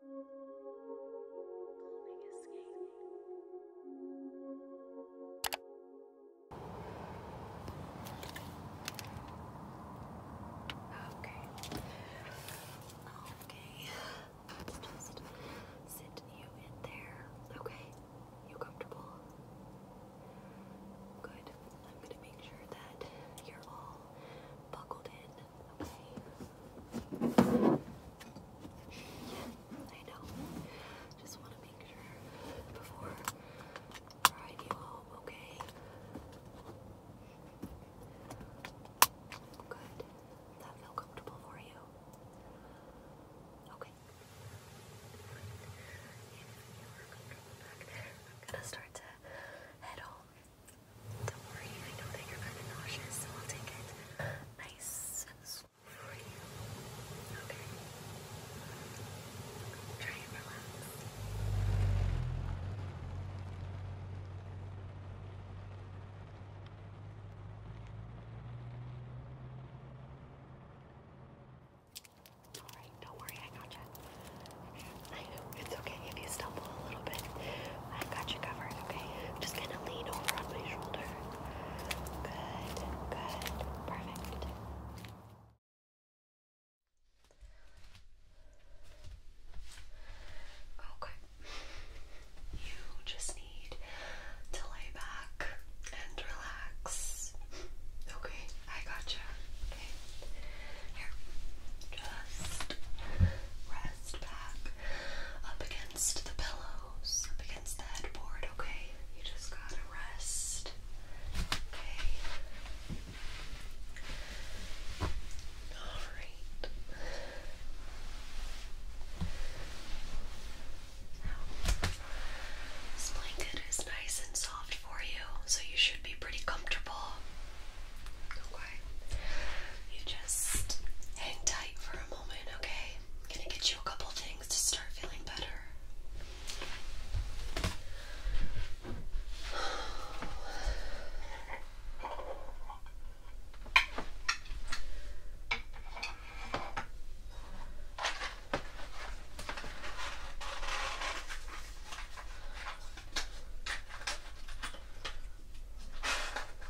Okay. Okay. Let's just sit you in there. Okay. You comfortable? Good. I'm gonna make sure that you're all buckled in okay? I know. Just want to make sure before I ride you home, okay? Good. that feel comfortable for you? Okay. I'm gonna start to head home. Don't worry, I know that you're kind of nauseous, so I'll take it nice for you. Okay. Try and relax. Alright, don't worry, I gotcha. I it's okay if you stumble a little bit. I got you covered, okay? I'm just gonna lean over on my shoulder. Good, good, perfect. Okay. You just need to lay back and relax. Okay, I gotcha. Okay. Here. Just rest back up against the pillows, up against the headboard, okay? You just gotta rest. Okay. Alright. this blanket is nice and soft for you, so you should be pretty comfortable. Okay. You just hang tight for a moment, okay? I'm gonna get you a couple things to start feeling better.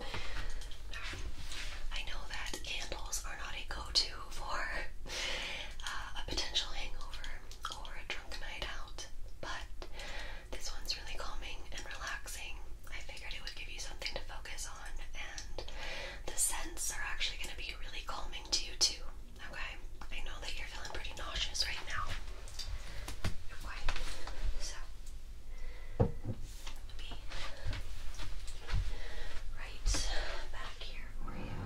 I know that candles are not a go-to for uh, a potential hangover or a drunk night out, but this one's really calming and relaxing. I figured it would give you something to focus on, and the scents are actually going to be really calming to you too. Okay, I know that you're feeling pretty nauseous right now. so right back here for you.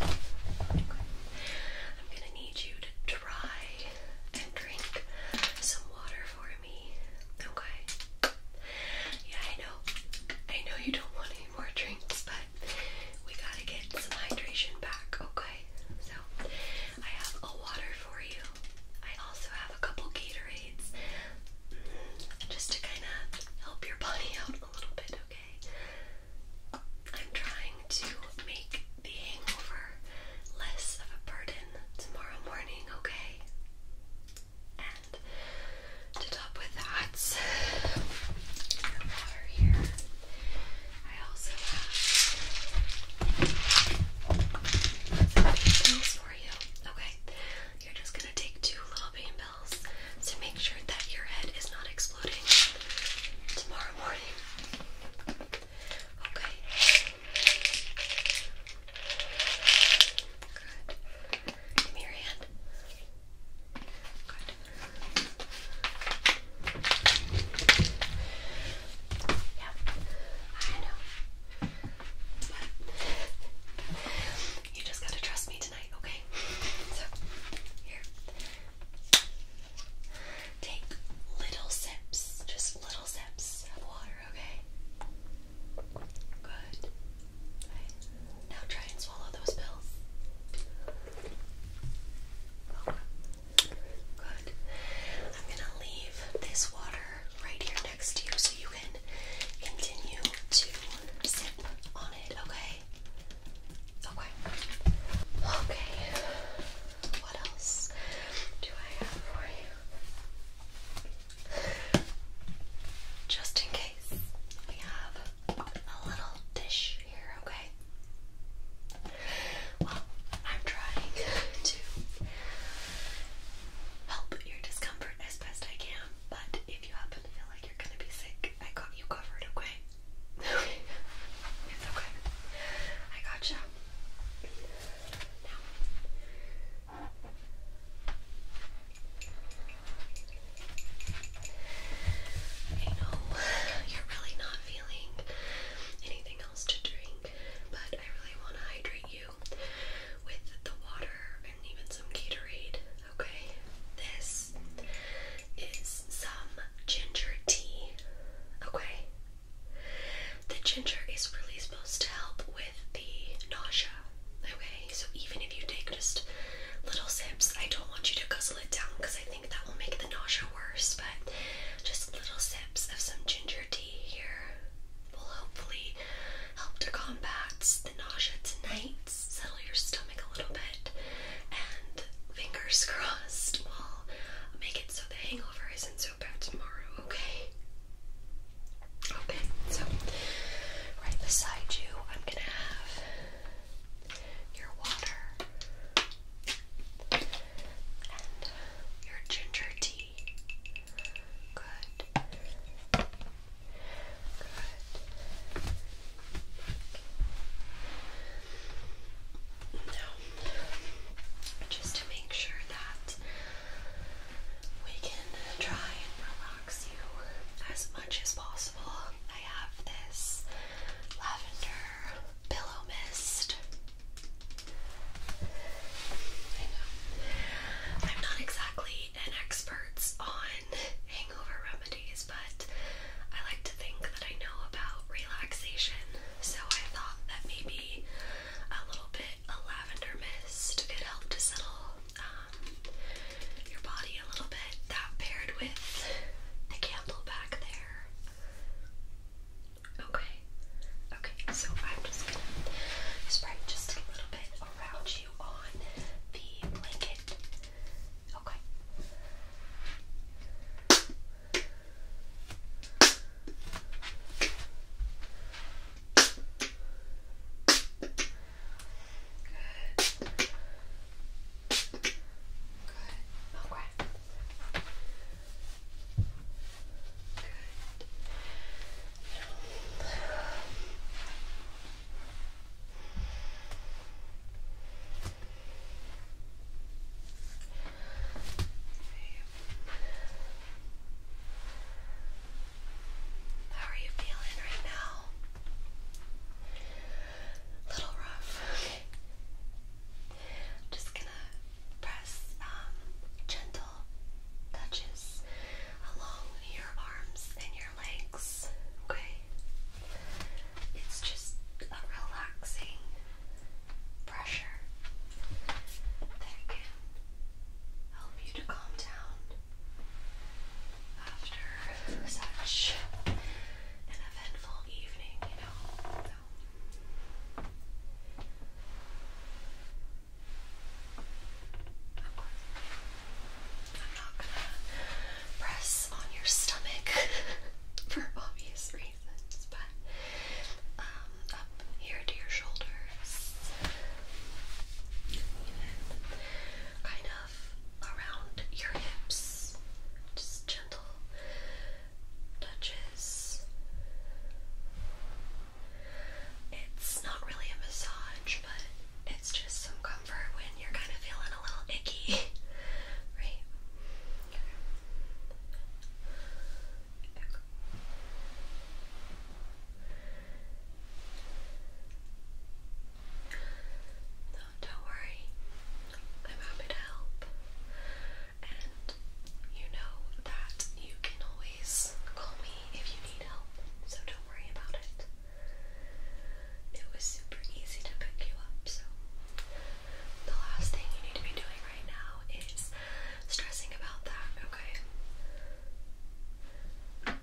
I'm going to need you to try and drink some water for me. Okay. Yeah, I know. I know you don't want any more drinks, but we gotta get some hydration back, okay? So, I have a water for you. I also have a couple Gatorades mm, just to kind of help your body out a little bit, okay? I'm trying to make the hangover less of a burden tomorrow morning, okay? to top with that, the here. I also have pain pills for you. Okay, you're just gonna take two little pain pills to make sure that your head is not exploding tomorrow morning. Okay. Good. Give me hand. Yeah, I know. But you just gotta trust me tonight, okay? So, here. Take little sips, just little sips of water, okay? Good. Now try and swallow those pills. Good. I'm gonna leave this water right here next to you so you can continue to sip on it, okay? Okay. Okay. What else do I have for you? Just in case, we have a little dish here, okay? Well, I'm trying to help your discomfort as best I can, but if you happen to feel like you're gonna be sick, I got you covered, okay? Okay, it's okay. I gotcha. Now, I know you're really not feeling anything else to drink, but I really want to hydrate you with the water and even some Gatorade, okay? This is some ginger tea, okay? The ginger is really supposed to help with the nausea, okay? So even if you take just little sips, I don't want you to guzzle it down because I think that will make the nausea worse. But just little sips of some ginger tea here will hopefully help to combat the nausea tonight, settle your stomach a little bit, and fingers crossed will make it so the hangover isn't so bad tomorrow, okay? Okay, so right beside you, I'm gonna have your water, and your ginger tea. Good. Good. Now, just to make sure that we can try and relax as much as possible. I have this lavender pillow mist. I know. I'm not exactly an expert on hangover remedies, but I like to think that I know about relaxation. So I thought that maybe a little bit of lavender mist could help to settle um, your body a little bit. That paired with the candle back there. Okay. Okay, so I'm just gonna spray just a little bit around you on the blanket. Okay. Good. Good. Okay. Good. How are you feeling right now? little rough. I'm just gonna press um, gentle touches along your arms and your legs. Okay. It's just a relaxing pressure that can help you to calm down after such an eventful evening, you know. So. I'm not gonna press on your stomach for obvious reasons, but um, up here to your shoulders, and kind around your hips, just gentle touches. It's not really a massage, but it's just some comfort when you're kind of feeling a little icky, right? Oh, don't worry. I'm happy to help. And you know that you can always call me if you need help, so don't worry about it. It was super easy to pick you up, so the last thing you need to be doing right now is stressing about that, okay? Yeah. I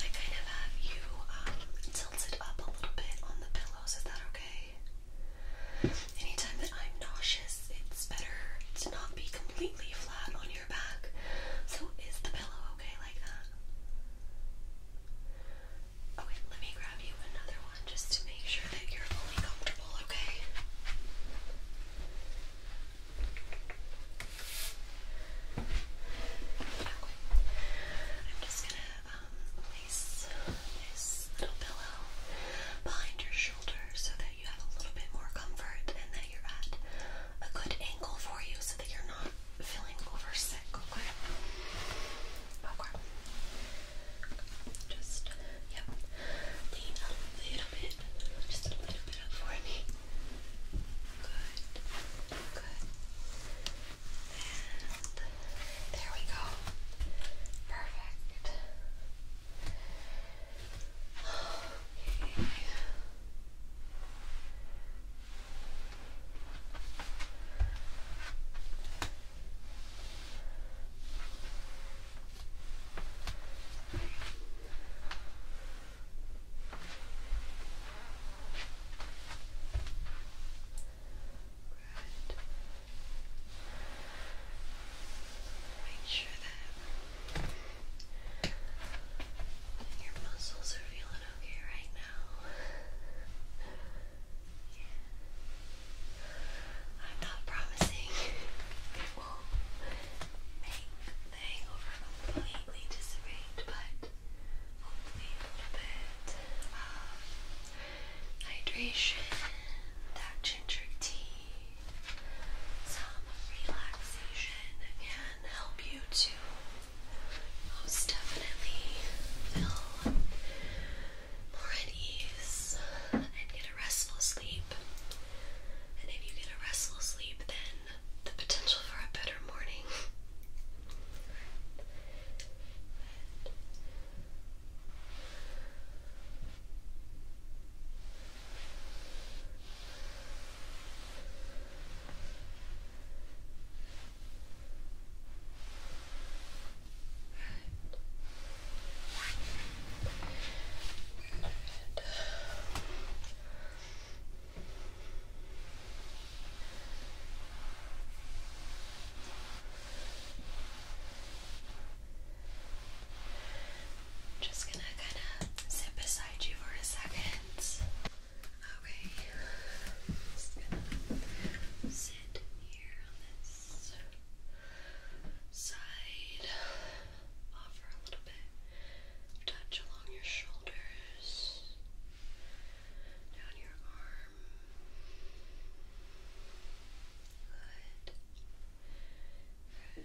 kind of have you um, tilted up a little bit on the pillows. Is that okay? Anytime that I'm nauseous, it's better to not be completely flat on your back. So is the pillow okay like that? let me grab you another one just to make sure that you're fully comfortable, okay? I'm just gonna um, place this little pillow behind your shoulder so that you have a little bit more comfort and that you're at a good angle for you so that you're not feeling over okay? Just, yep. Lean a little bit. Just a little bit up for me. Good. Good. And there we go. Perfect. Make sure that your muscles are feeling okay right now. I'm not promising it will make the hangover completely dissipate, but hopefully a bit of hydration, that ginger tea, some relaxation can help you to most definitely feel more at ease and get a restful sleep. And if you get a restful sleep, then the potential for a better morning. but, Okay. Good. Uh, just gonna kind of sit beside you for a second. Okay, just sit here on this side, offer a little bit touch along your shoulders, down your arm. Good. Good.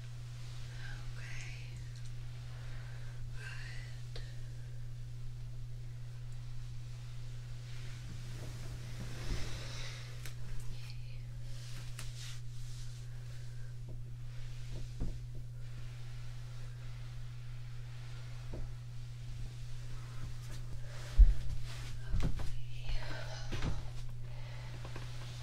Okay. Good. Okay. Okay.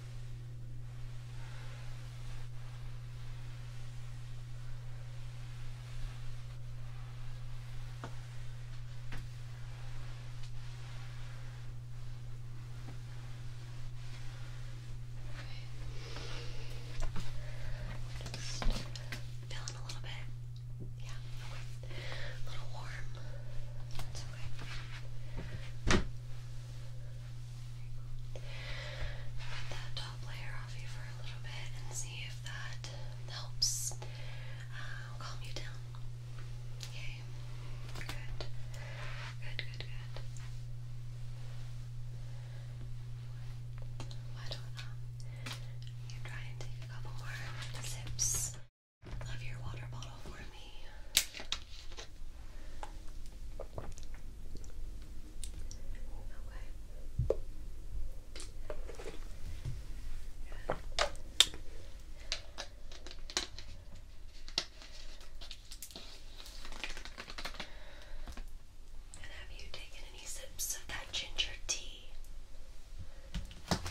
Okay. Just feeling a little bit, yeah, okay. A little warm. That's okay. Put that top layer off you for a little bit and see if that helps um, calm you down. Okay, good, good, good, good. Why um, you try and take a couple more sips? of your water bottle for me. Okay. And have you taken any sips of that ginger tea? okay.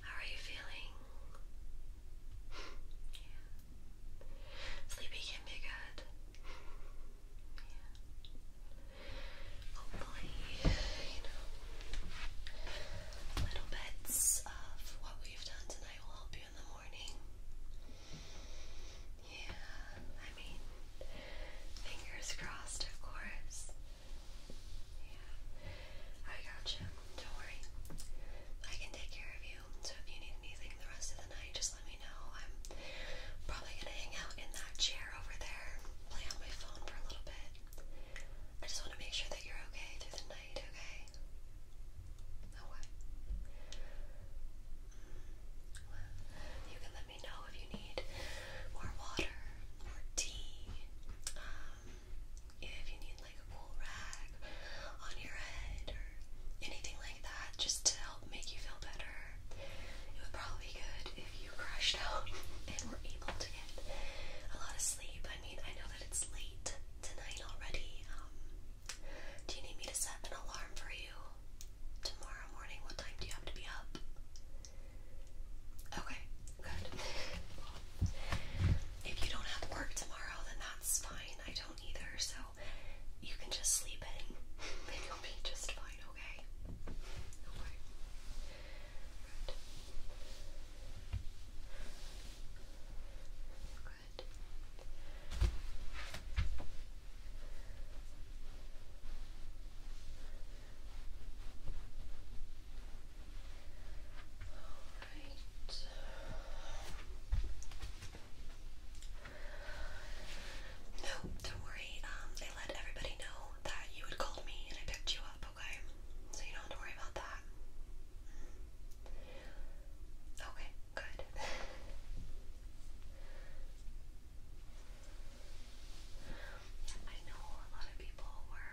How are you feeling? yeah. Sleepy can be good. Yeah. Hopefully, you know, little bits of what we've done tonight will help you in the morning. Yeah, I mean, fingers crossed, of course. Yeah, I got you. Don't worry. I can take care of you. So if you need anything the rest of the night, just let me know. I'm probably gonna hang out in that chair over there, play on my phone for a little bit. I just want to make sure that you're okay through the night, okay? Okay. Oh, mm, well, you can let me know if you need more water, more tea, um, if you need like a cool rag on your head or anything like that, just to help make you feel better. It would probably be good if you crashed out and were able to get a lot of sleep. I mean, I know that it's late tonight already. Um, do you need me to set an alarm for you? Tomorrow morning, what time do you have to be up? Okay, good. If you don't have work tomorrow, then that's fine. I don't either, so you can just sleep in and you'll be just fine, okay? Good. Alright. No, don't worry. Um, let everybody know that you had called me and I picked you up, okay? So you don't have to worry about that. Mm-hmm. Okay, good. I know a lot of people were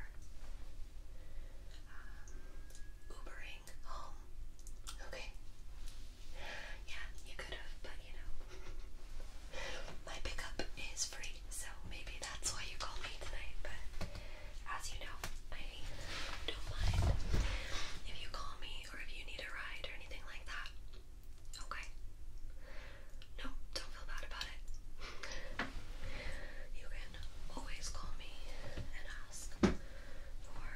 um, Ubering home. Okay. Yeah, you could have, but you know, my pickup is free, so maybe that's why you called me tonight. But as you know, I don't mind if you call me or if you need a ride or anything like that. Okay. No, don't feel bad about it. You can always call me and ask for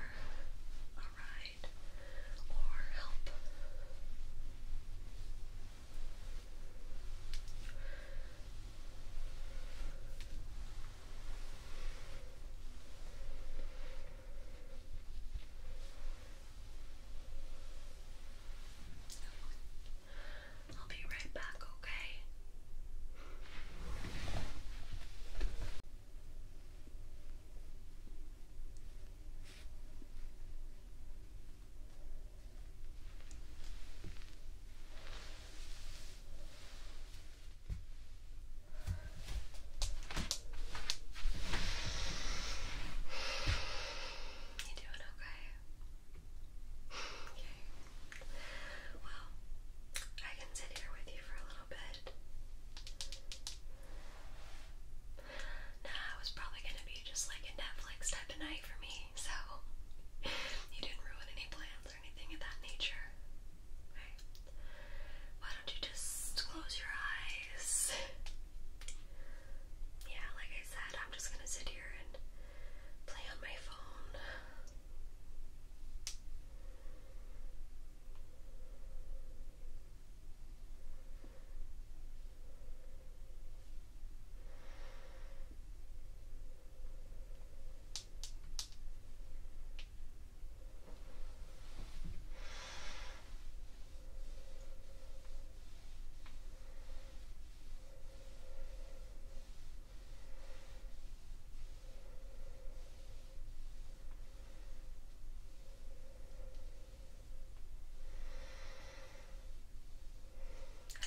a ride or help. I'll be right back, okay? You doing okay? Okay. Well, I can sit here with you for a little bit. Nah, it was probably gonna be just like a Netflix type of night for me, so you didn't ruin any plans or anything of that nature. Okay. Why don't you just close your eyes? Yeah, like I said, I'm just gonna sit here and play on my phone.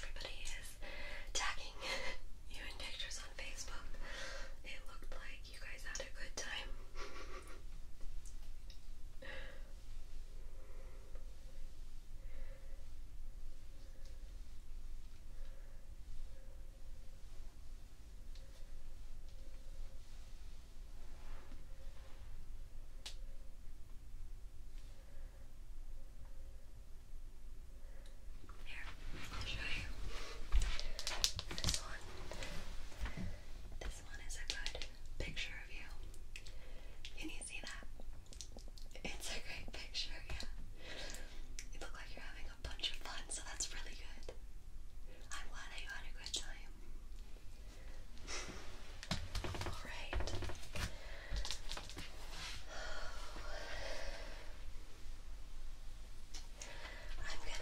Everybody is tagging you in pictures on Facebook. It looked like you guys had a good time. Here, I'll show you. This one. This this one is a good picture of you. Can you see that? It's a great picture, yeah. You look like you're having a bunch of fun, so that's really good. I'm glad that you had a good time. Alright. I'm gonna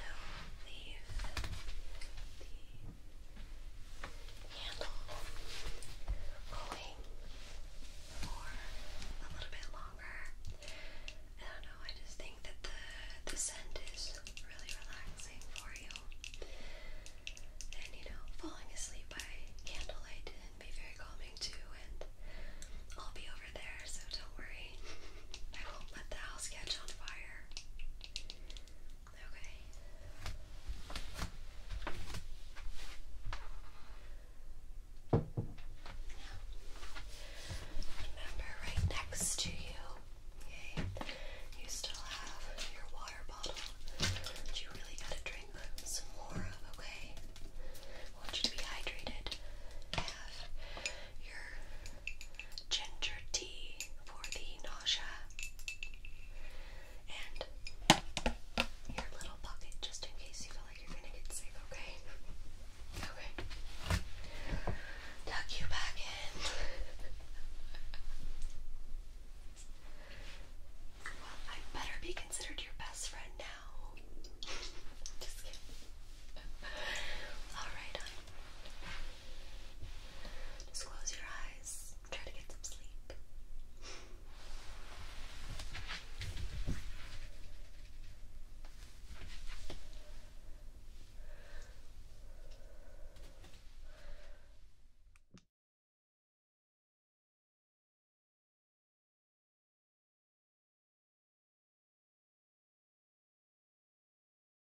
leave the handle going for a little bit longer. I don't know, I just think that the, the scent is really relaxing for you. And you know, falling asleep by candlelight can be very calming too, and I'll be over there, so don't worry. I won't let the house catch on fire. Okay. remember, right next to you, okay, you still have your water bottle that you really gotta drink some more of, okay? want you to be hydrated. Have your ginger tea for the nausea, and your little bucket just in case you feel like you're gonna get sick, okay? Okay. Tuck you back in. well, I better be considered your best friend now. just kidding. Alright, just close your eyes. Try to get some sleep.